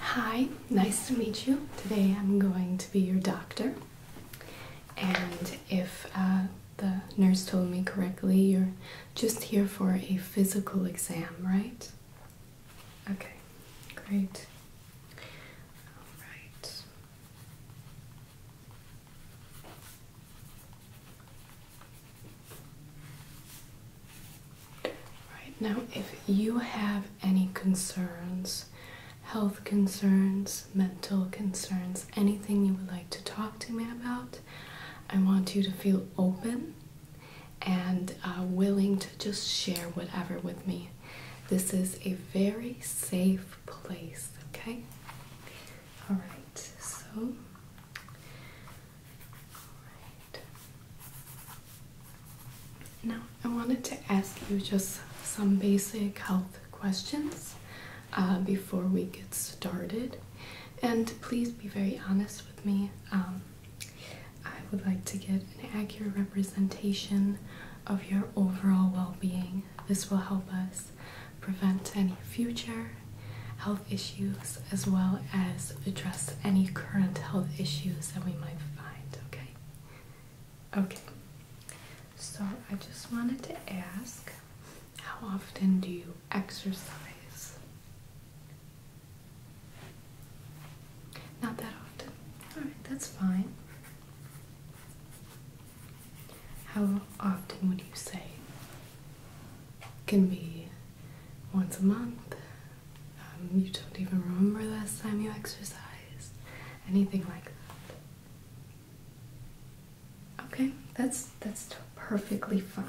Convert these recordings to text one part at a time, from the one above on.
Hi, nice to meet you. Today I'm going to be your doctor, and if uh, the nurse told me correctly, you're just here for a physical exam, right? Okay, great. All right. Right now, if you have any concerns health concerns, mental concerns, anything you would like to talk to me about. I want you to feel open and uh, willing to just share whatever with me. This is a very safe place, okay? All right, so. Now, I wanted to ask you just some basic health questions uh, before we get started. And please be very honest with me. Um, I would like to get an accurate representation of your overall well being. This will help us prevent any future health issues as well as address any current health issues that we might find, okay? Okay, so I just wanted to ask how often do you exercise? Not that often. Alright, that's fine. How often would you say? Can be once a month. Um, you don't even remember last time you exercised. Anything like that. Okay, that's that's perfectly fine.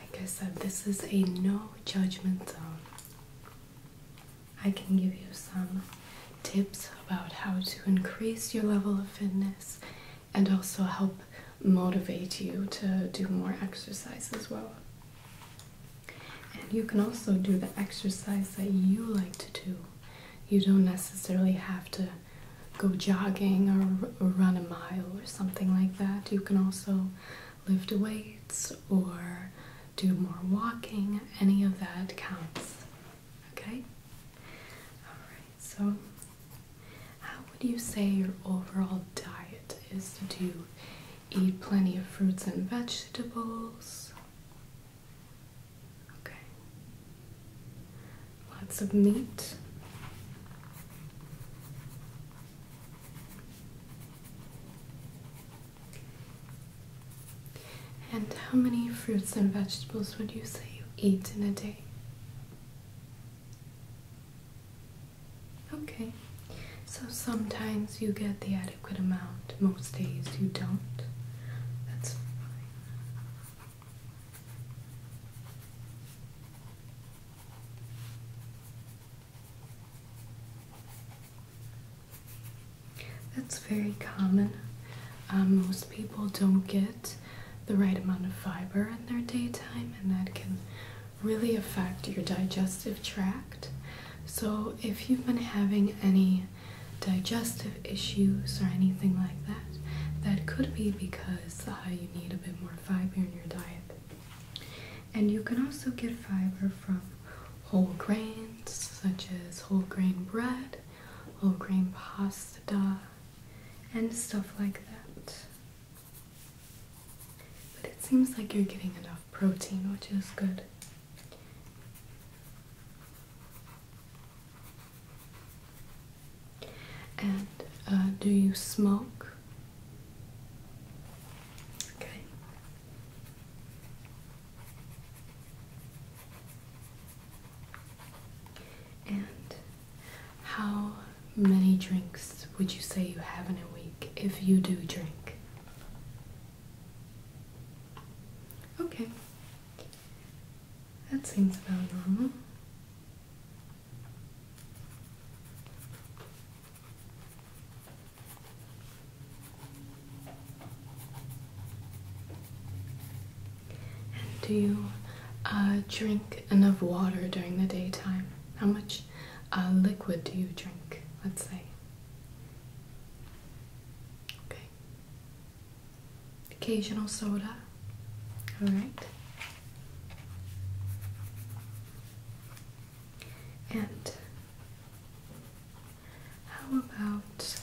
Like I said, this is a no judgment zone. I can give you some tips about how to increase your level of fitness and also help motivate you to do more exercise as well. And you can also do the exercise that you like to do. You don't necessarily have to go jogging or, run a mile or something like that. You can also lift weights or do more walking. Any of that counts. Okay? Alright, so how would you say your overall diet is? Do you eat plenty of fruits and vegetables? Okay. Lots of meat. And how many fruits and vegetables would you say you eat in a day? Okay, so sometimes you get the adequate amount, most days you don't. That's That's very common. Um, most people don't get the right amount of fiber in their daytime, and that can really affect your digestive tract. So, if you've been having any digestive issues or anything like that, that could be because you need a bit more fiber in your diet. And you can also get fiber from whole grains, such as whole grain bread, whole grain pasta, and stuff like that. But it seems like you're getting enough protein, which is good. And uh, do you smoke? Okay. And how many drinks would you say you have in a week if you do drink? Okay, that seems about normal. And do you uh, drink enough water during the daytime? How much uh, liquid do you drink, let's say? Okay. Occasional soda. All right. And how about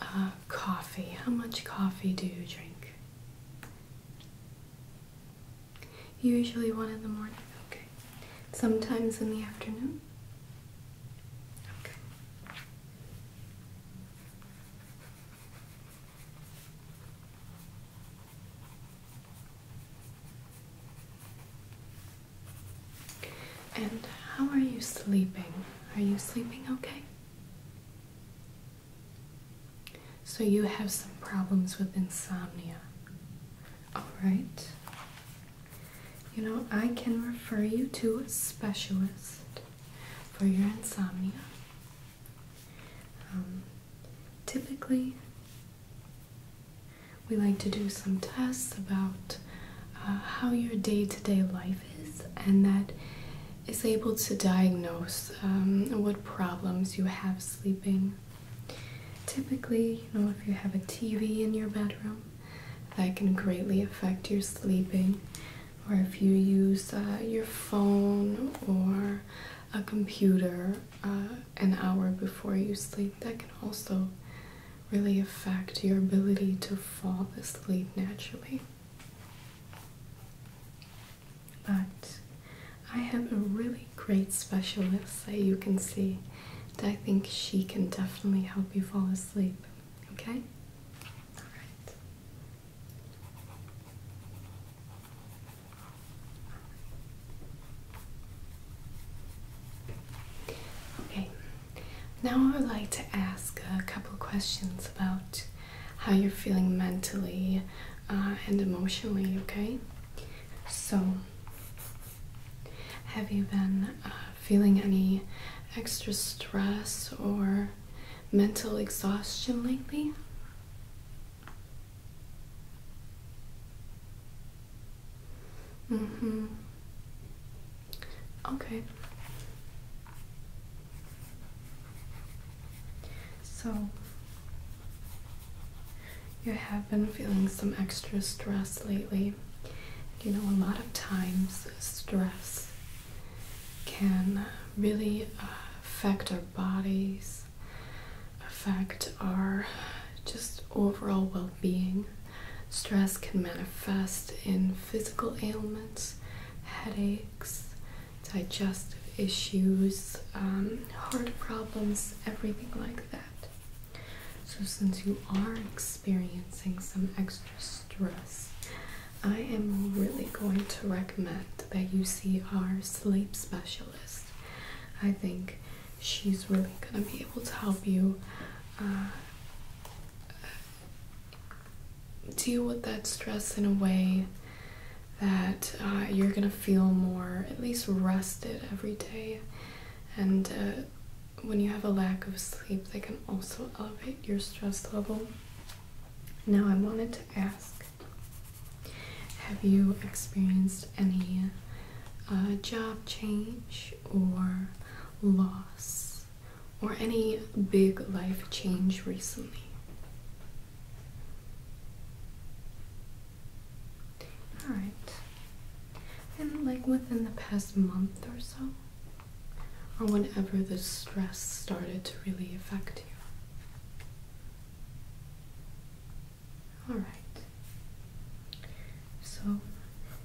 uh, coffee? How much coffee do you drink? Usually one in the morning, okay. Sometimes in the afternoon? Okay. And how are you sleeping? Are you sleeping okay? So you have some problems with insomnia. Alright. You know, I can refer you to a specialist for your insomnia. Um, typically, we like to do some tests about uh, how your day to day life is, and that is able to diagnose um, what problems you have sleeping. Typically, you know, if you have a TV in your bedroom, that can greatly affect your sleeping, or if you use uh, your phone or a computer uh, an hour before you sleep, that can also really affect your ability to fall asleep naturally. But I have a really great specialist that you can see that I think she can definitely help you fall asleep. Okay? Alright. Okay. Now I would like to ask a couple questions about how you're feeling mentally uh, and emotionally, okay? So, have you been uh, feeling any extra stress or mental exhaustion lately? Mm hmm. Okay. So, you have been feeling some extra stress lately. You know, a lot of times stress can really uh, affect our bodies, affect our just overall well being. Stress can manifest in physical ailments, headaches, digestive issues, um, heart problems, everything like that. So, since you are experiencing some extra stress, I am really going to recommend that you see our sleep specialist. I think she's really going to be able to help you uh, deal with that stress in a way that uh, you're gonna feel more at least rested every day and uh, when you have a lack of sleep they can also elevate your stress level now i wanted to ask have you experienced any uh, job change or loss or any big life change recently all right. And like within the past month or so, or whenever the stress started to really affect you. All right. So,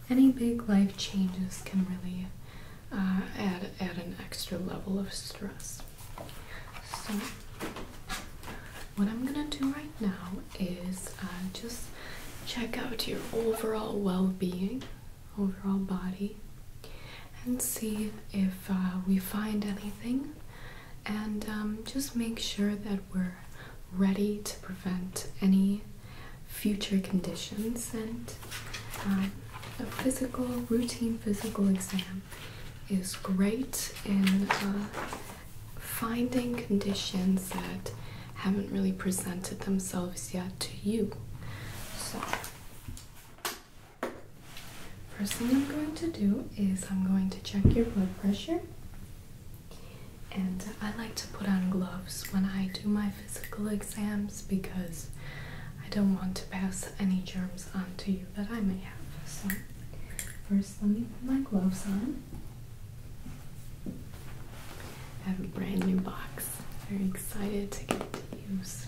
any big life changes can really uh, add add an extra level of stress. So, what I'm gonna do right now is uh, just check out your overall well being, overall body, and see if uh, we find anything, and um, just make sure that we're ready to prevent any future conditions and uh, a physical, routine physical exam is great in uh, finding conditions that haven't really presented themselves yet to you. So, first thing I'm going to do is I'm going to check your blood pressure. And I like to put on gloves when I do my physical exams because I don't want to pass any germs on to but I may have. So, first, let me put my gloves on. I have a brand new box. Very excited to get to use.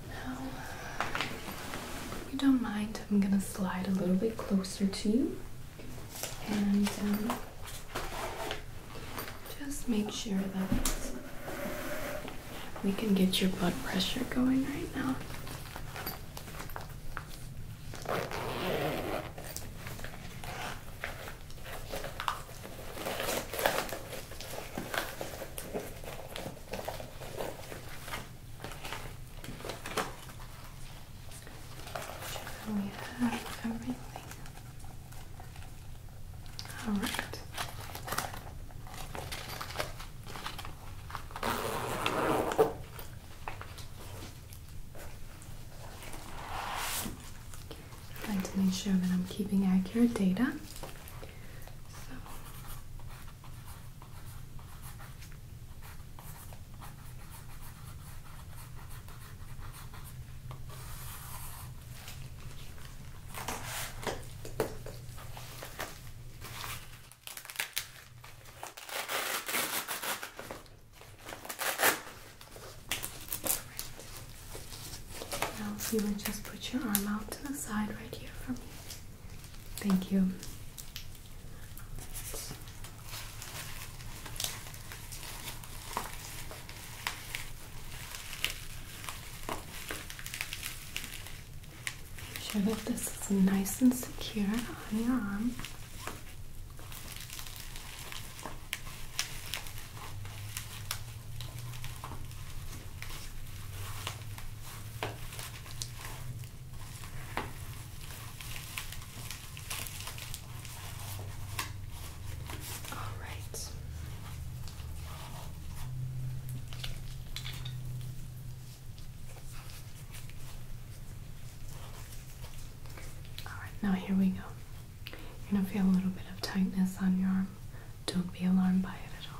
if you don't mind, I'm gonna slide a little bit closer to you and um, just make sure that we can get your blood pressure going right now. We have everything. to make sure that I'm keeping accurate data. Now, you would just put your arm out to the side right here for me. Thank you. Make sure that this is nice and secure on your arm. All right. All right, now here we go. You're going to feel a little bit of tightness on your arm. Don't be alarmed by it at all.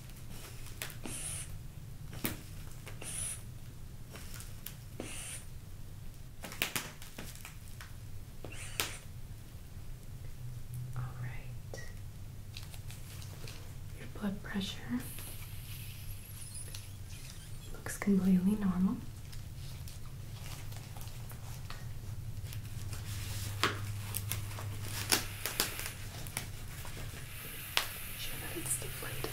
All right. Your blood pressure looks completely normal. Sure that it's deflated.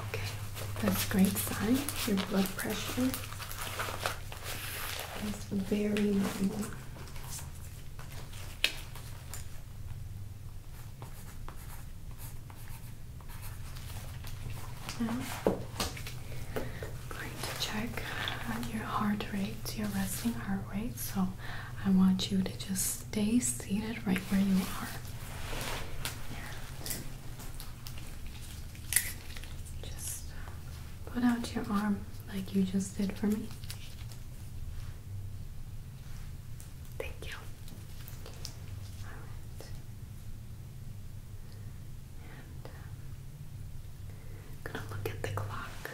Okay, that's great sign. Your blood pressure is very normal. I'm going to check your heart rate, your resting heart rate. So, I want you to just stay seated right where you are. Just put out your arm like you just did for me. Thank you. Alright. And um, gonna look at the clock.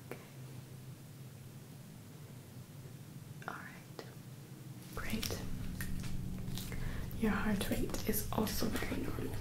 Okay. Alright, great. Your heart rate is also very normal.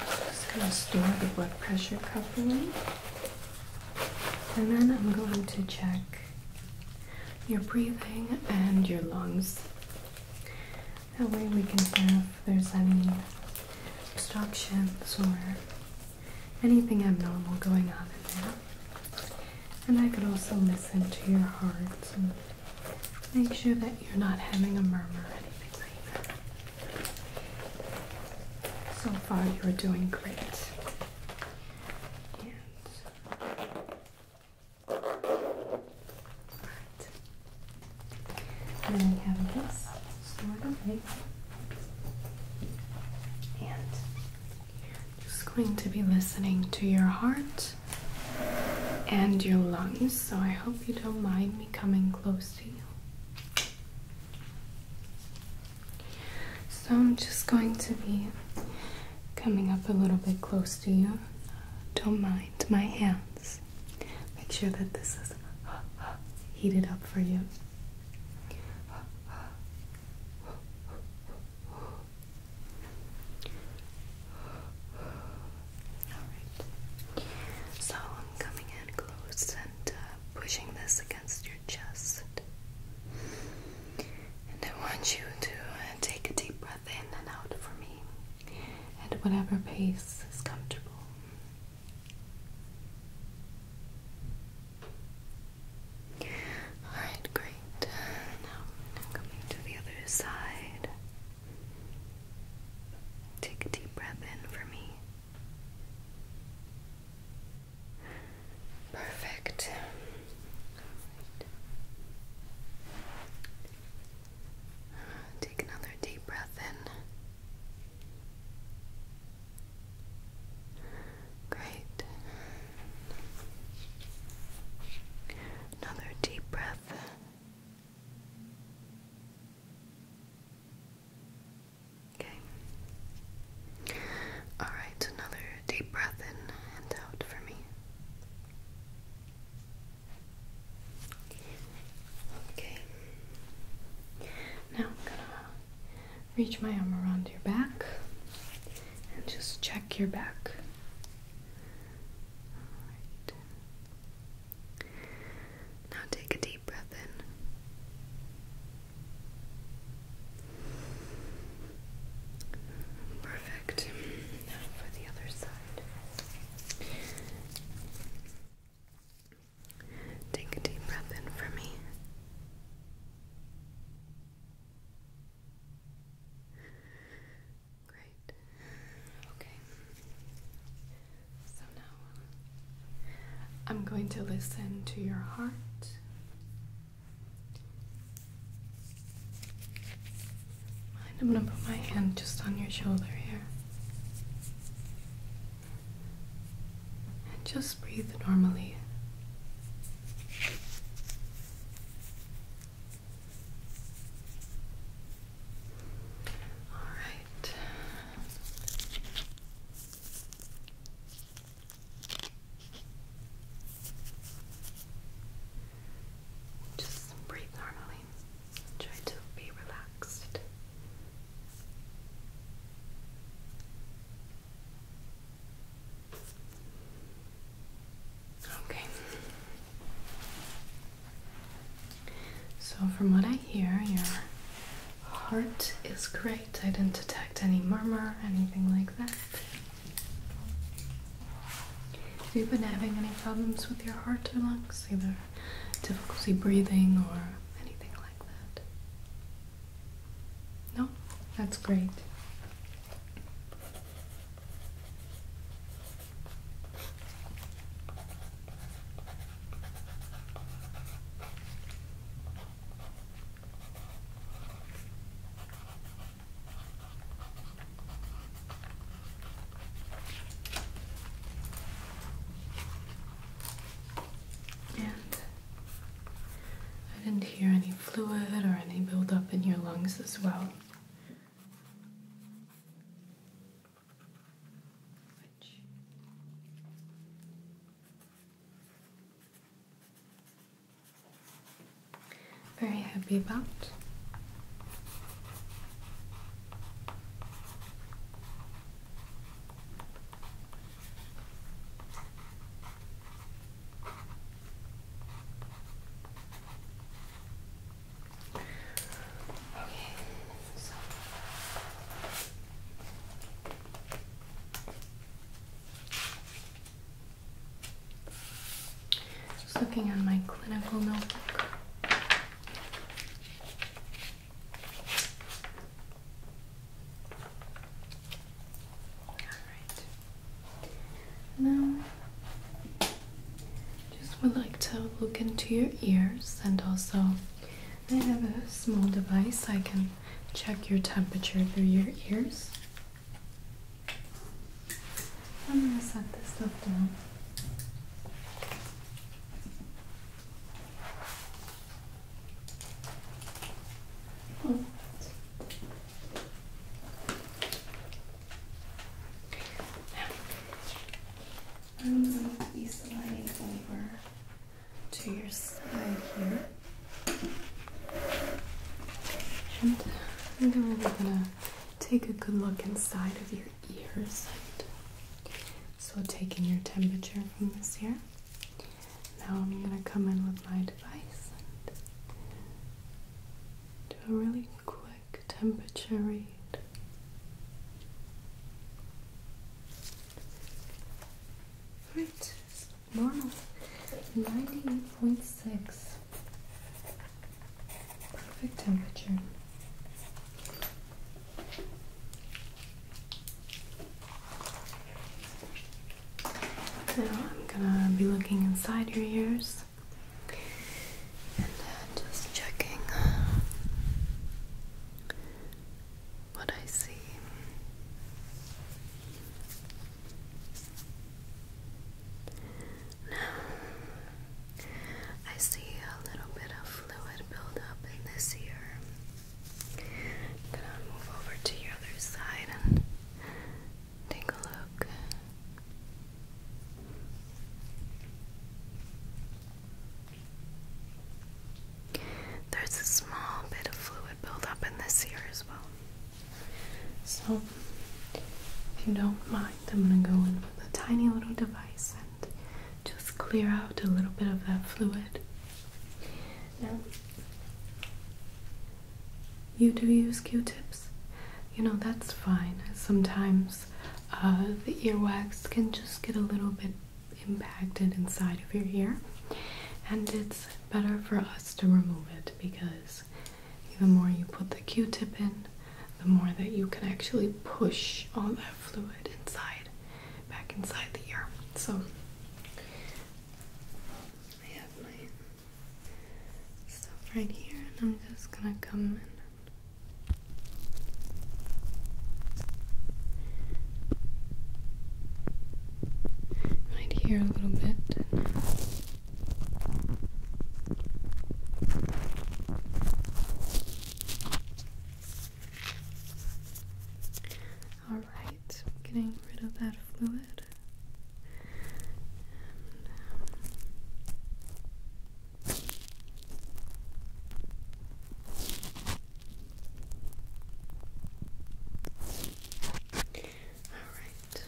Just going to store the blood pressure cuff properly. And then I'm going to check your breathing and your lungs. That way we can see if there's any obstructions or anything abnormal going on in there. And I could also listen to your heart and make sure that you're not having a murmur or anything like that. So far, you're doing great. And then we have this sort of right and just going to be listening to your heart and your lungs, so I hope you don't mind me coming close to you. So I'm just going to be coming up a little bit close to you. Don't mind my hands. Make sure that this is heated up for you. Alright. So I'm coming in close and uh, pushing this against your chest. And I want you to uh, take a deep breath in and out for me at whatever pace is comfortable. Alright, great. Uh, now, coming to the other side. Take a deep breath in for me. Perfect. Uh, take another deep breath in. Great. Another deep breath. Okay. All right, another deep breath in and out for me. Okay. Now I'm gonna reach my arm around your back and just check your back. Now take a deep breath in. Perfect. Now for the other side. Take a deep breath in for me. Great. Okay. So now uh, I'm going to listen to your heart. I'm going to put my hand just on your shoulder here. And just breathe normally. All right. Just breathe normally. Try to be relaxed. Okay. So, from what I hear, your heart is great. I didn't detect any murmur, anything like that. Have you been having any problems with your heart or lungs? Either difficulty breathing or anything like that? No, that's great. And I didn't hear any fluid or any buildup in your lungs as well. very happy about. Okay, so just looking at my clinical notebook. Alright. Now, just would like to look into your ears and also I have a small device I can check your temperature through your ears. I'm gonna set this stuff down. I'm going to be sliding over to your side here. And uh, I'm going to take a good look inside of your ear So, taking your temperature from this here. Now I'm gonna come in with my device and do a really quick temperature read. Right, normal 98.6. Perfect temperature. Now I'm gonna be looking inside your ears and uh, just checking uh, what I see. Now I see a little bit of fluid buildup in this ear. gonna move over to your other side and Take a look. There's a small bit of fluid buildup in this ear as well. So, if you don't mind, I'm going to go in with a tiny little device and just clear out a little bit of that fluid. Now, you do use Q-tips. You know, that's fine. Sometimes uh, the earwax can just get a little bit impacted inside of your ear, and it's better for us to remove it because the more you put the Q-tip in, the more that you can actually push all that fluid inside, back inside the ear. So, I have my stuff right here, and I'm just gonna come in. Right here a little bit. Alright, getting rid of that fluid. all right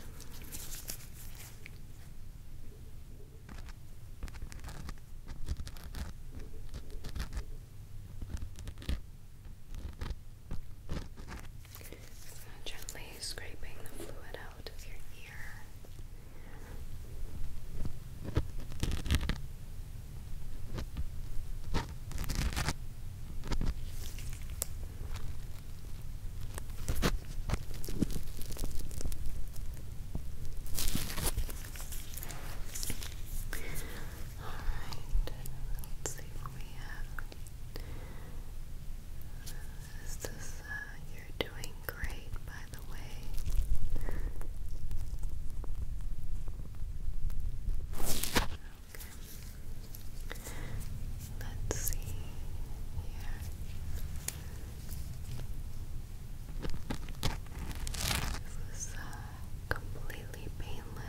gently scraping the fluid out of your ear. All right, let's see what we have. Is uh, you're doing great, by the way. Okay. Let's see here. This is uh, completely painless.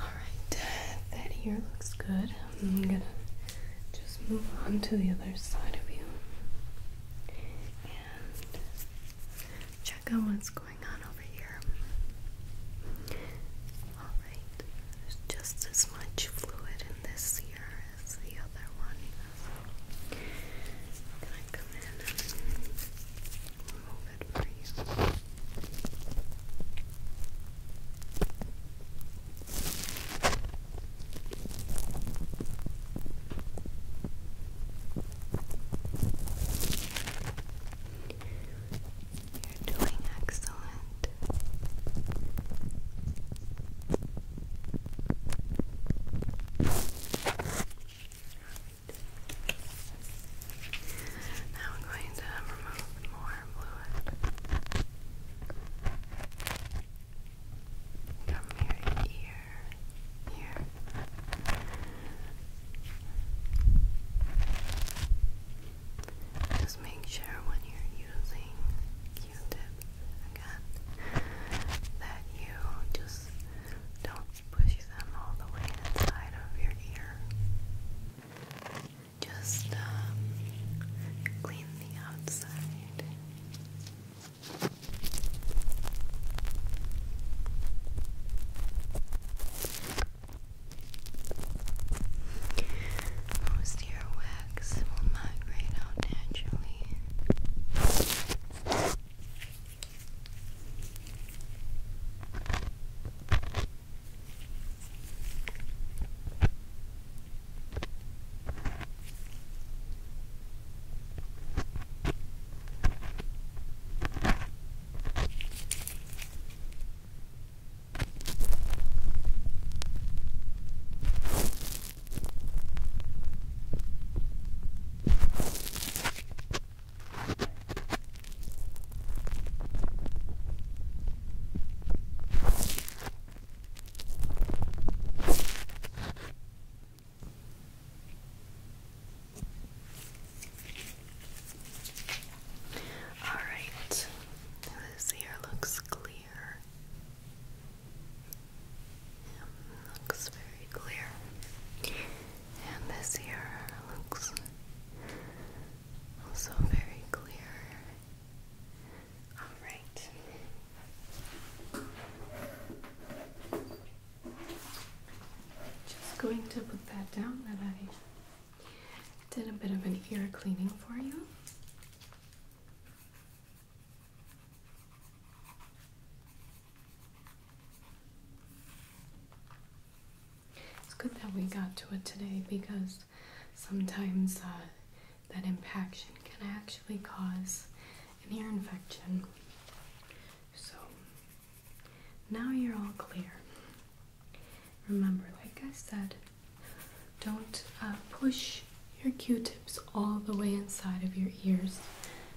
Alright, that here looks good. I'm gonna just move on to the other side of you and check out what's going on over here. Alright, there's just as much fluid in this ear is the other one. So i come in and remove it for you. You're doing excellent. Now I'm going to remove more fluid from your ear here. Just make sure when you're using Q-tips again that you just don't push them all the way inside of your ear. Just um, clean the outside. Most earwax wax will migrate out naturally. All right, this ear looks clear looks very clear. And this here looks also very clear. Alright. Just going to put that down that I did a bit of an ear cleaning for you. It's good that we got to it today because sometimes uh, that impaction can actually cause an ear infection. So now you're all clear. Remember, like I said, don't uh, push your Q-tips all the way inside of your ears.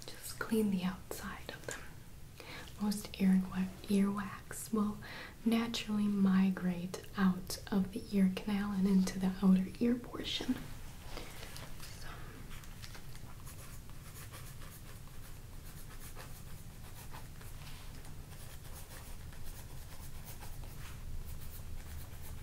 Just clean the outside of them. Most ear earwax will naturally migrate out of the ear canal and into the outer ear portion.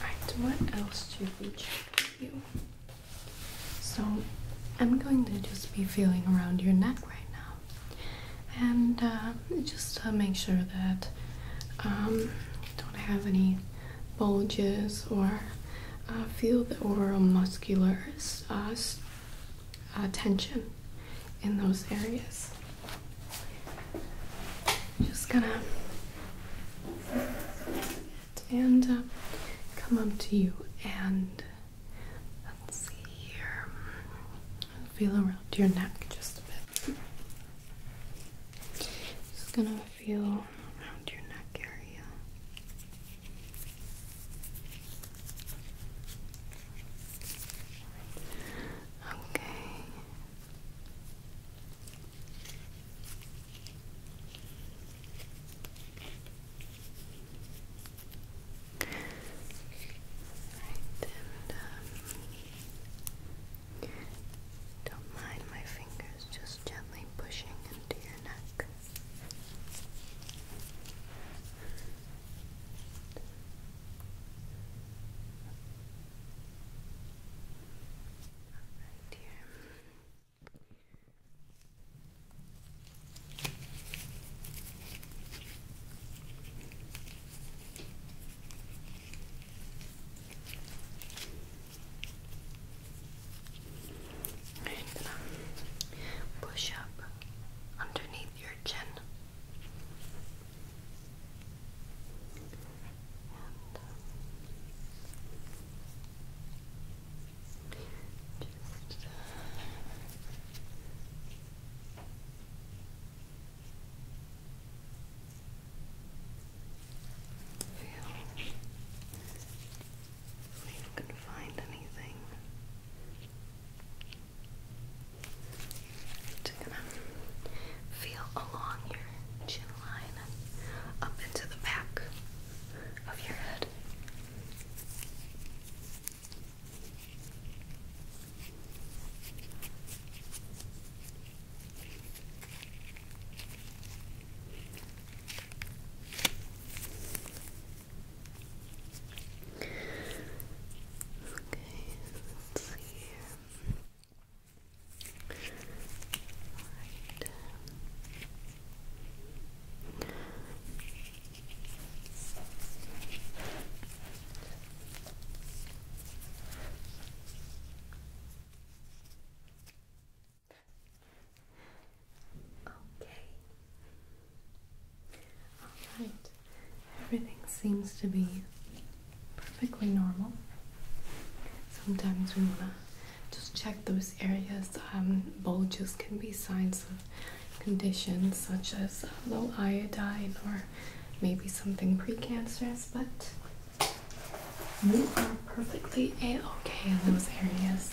Alright, what else do we check for you? So I'm going to just be feeling around your neck right now. And uh, just uh, make sure that um, you don't have any bulges or uh, feel the overall muscular uh, tension in those areas. Just gonna and uh, come up to you and let's see here. Feel around your neck just a bit. Just gonna feel around your neck area. Okay. Right, and don't mind my fingers just gently pushing into your neck. Alright, dear. Uh, push up underneath your chin. And just uh, feel if you can find anything. Just gonna feel along your chin line up into the back of your head. Okay, Okay. All right. Everything seems to be perfectly normal. Sometimes we want to just check those areas. Um, bulges can be signs of conditions such as uh, low iodine or maybe something precancerous, but we are perfectly a okay in those areas.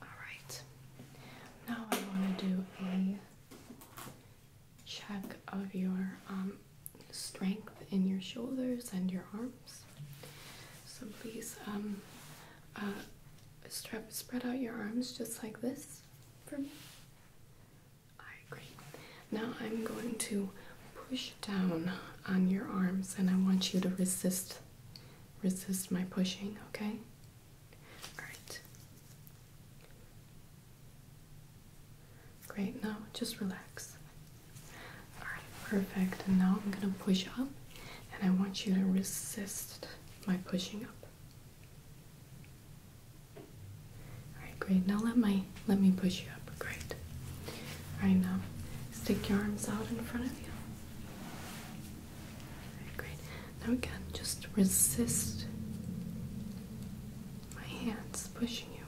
Alright, now I want to do a check of your um, strength in your shoulders and your arms. So please um, uh, strap, spread out your arms just like this for me. I agree. Now I'm going to push down on your arms and I want you to resist resist my pushing, okay? All right. Great. Now just relax. All right, perfect. And now I'm going to push up and I want you to resist my pushing up. Alright, great. Now let my let me push you up. Great. Alright now. Stick your arms out in front of you. Alright, great. Now again, just resist my hands pushing you.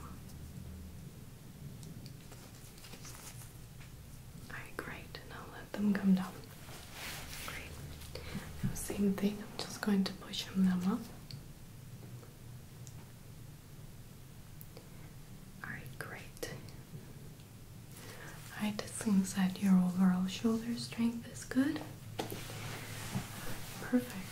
Alright, great. Now let them come down. Great. Now same thing, I'm just going to push them up. Alright, great. Alright, it seems that your overall shoulder strength is good. Perfect.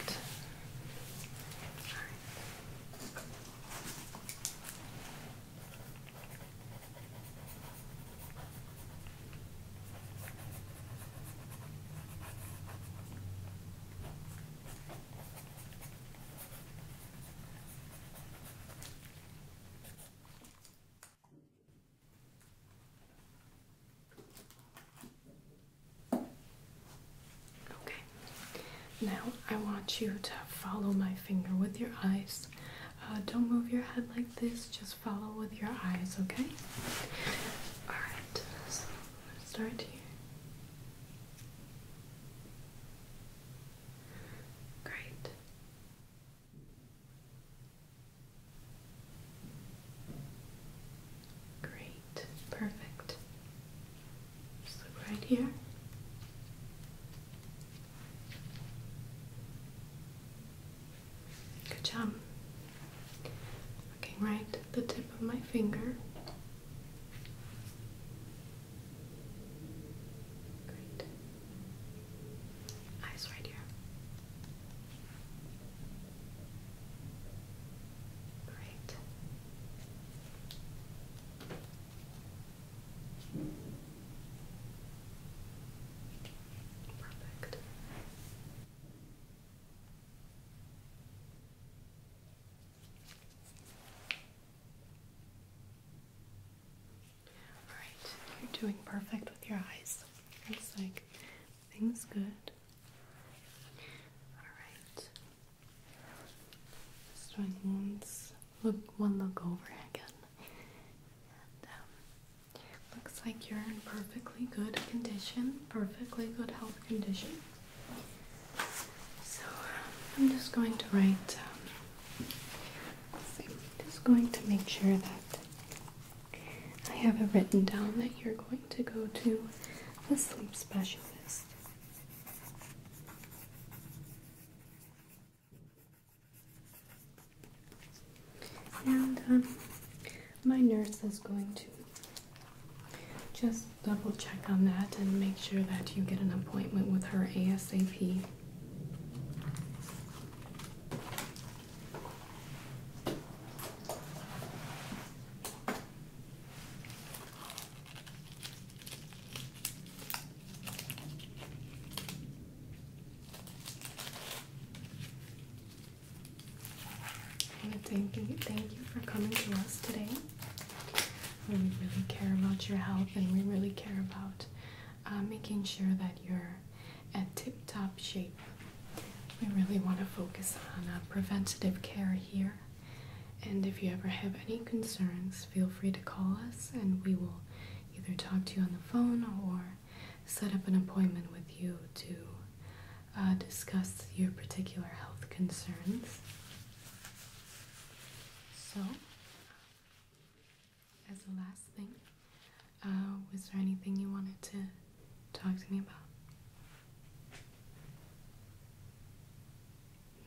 Okay, now I want you to follow my finger with your eyes. Uh, don't move your head like this, just follow with your eyes, okay? Alright, let's start here. Great. Great, perfect. right here. Good job. Looking right at the tip of my finger. Great. Eyes right here. Great. Perfect. All right, you're doing perfect with your eyes. Looks like things good. All right, just doing one look over again, um, looks like you're in perfectly good condition, perfectly good health condition. So I'm just going to write. I'm just going to make sure that I have it written down that you're going to go to the sleep specialist. And um, my nurse is going to just double check on that and make sure that you get an appointment with her ASAP. And thank you, thank you for coming to us today. We really care about your health, and we really care about uh, making sure that you're at tip-top shape. We really want to focus on uh, preventative care here. And if you ever have any concerns, feel free to call us, and we will either talk to you on the phone or set up an appointment with you to uh, discuss your particular health concerns. So, as the last thing, uh, was there anything you wanted to talk to me about?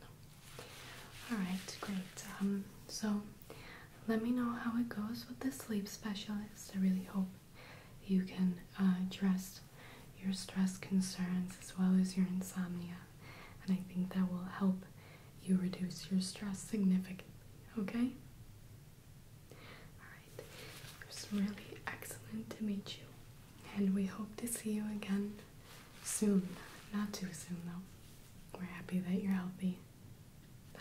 No. Alright, great. Um, so, let me know how it goes with the sleep specialist. I really hope you can uh, address your stress concerns as well as your insomnia, and I think that will help you reduce your stress significantly. Okay? Alright, it was really excellent to meet you, and we hope to see you again soon. Not too soon, though. We're happy that you're healthy. Bye.